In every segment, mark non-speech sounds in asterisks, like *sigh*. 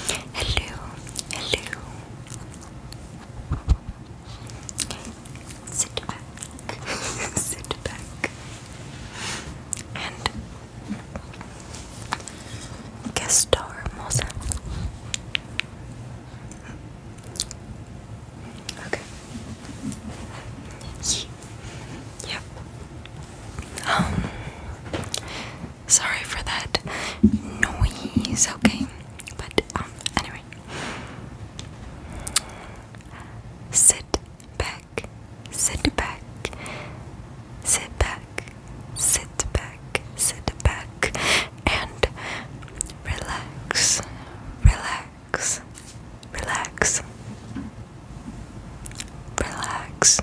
Hello, hello. Sit back, *laughs* sit back, and guest star Mosa. Okay. Yep. Um. Sorry for that noise, okay? But um, anyway. Sit back, sit back, sit back, sit back, sit back, and relax, relax, relax, relax,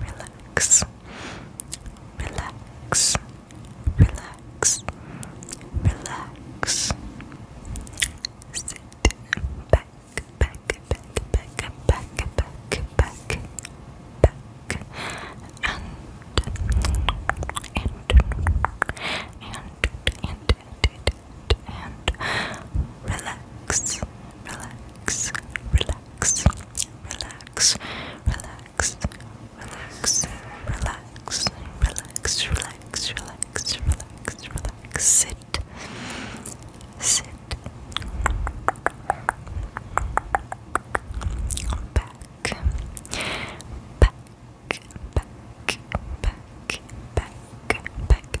relax, relax, relax, relax. Sit back, back, back, back, back, back, back, back, and and and and and and relax, relax, relax relax, relax, relax, relax, relax, relax, relax, relax, relax, relax, sit, sit, back, back, back, back, back, back,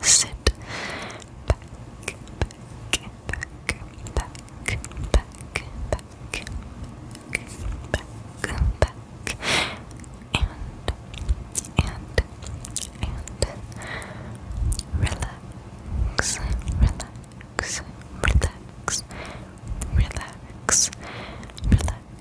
sit back, back, back, back, back, back, back, back, and, and, and relax, relax, relax, relax, relax.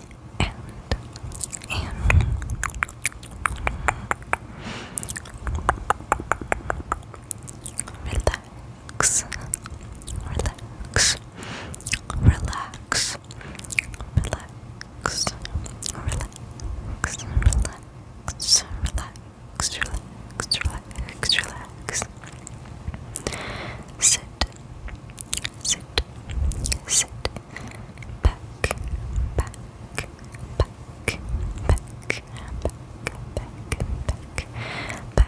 and and relax, relax, relax, relax, relax, relax. Relax, relax, relax, relax, relax. Sit sit, sit, back, back, back, back, back, back, back, back. Back, back,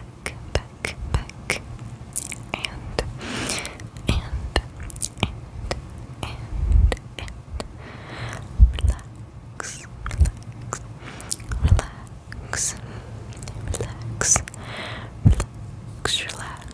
back, and, and, and, and, relax, relax, relax, relax, relax, relax,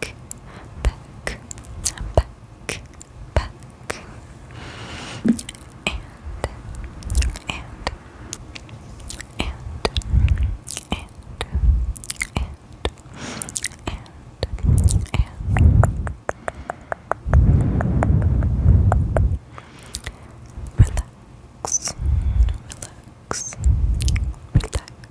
back, back, back, and, and, and, and, and, and, and. Relax, relax, relax,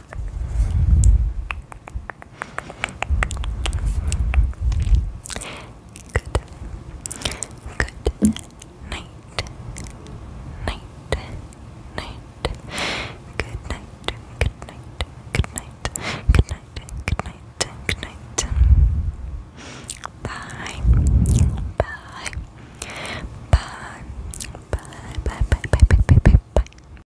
Good night. Night. Night. Good night. Good night. Good night. Good night. Good night. Good night. Bye. Bye. Bye. Bye. Bye. Bye. Bye. Bye. Bye. Bye.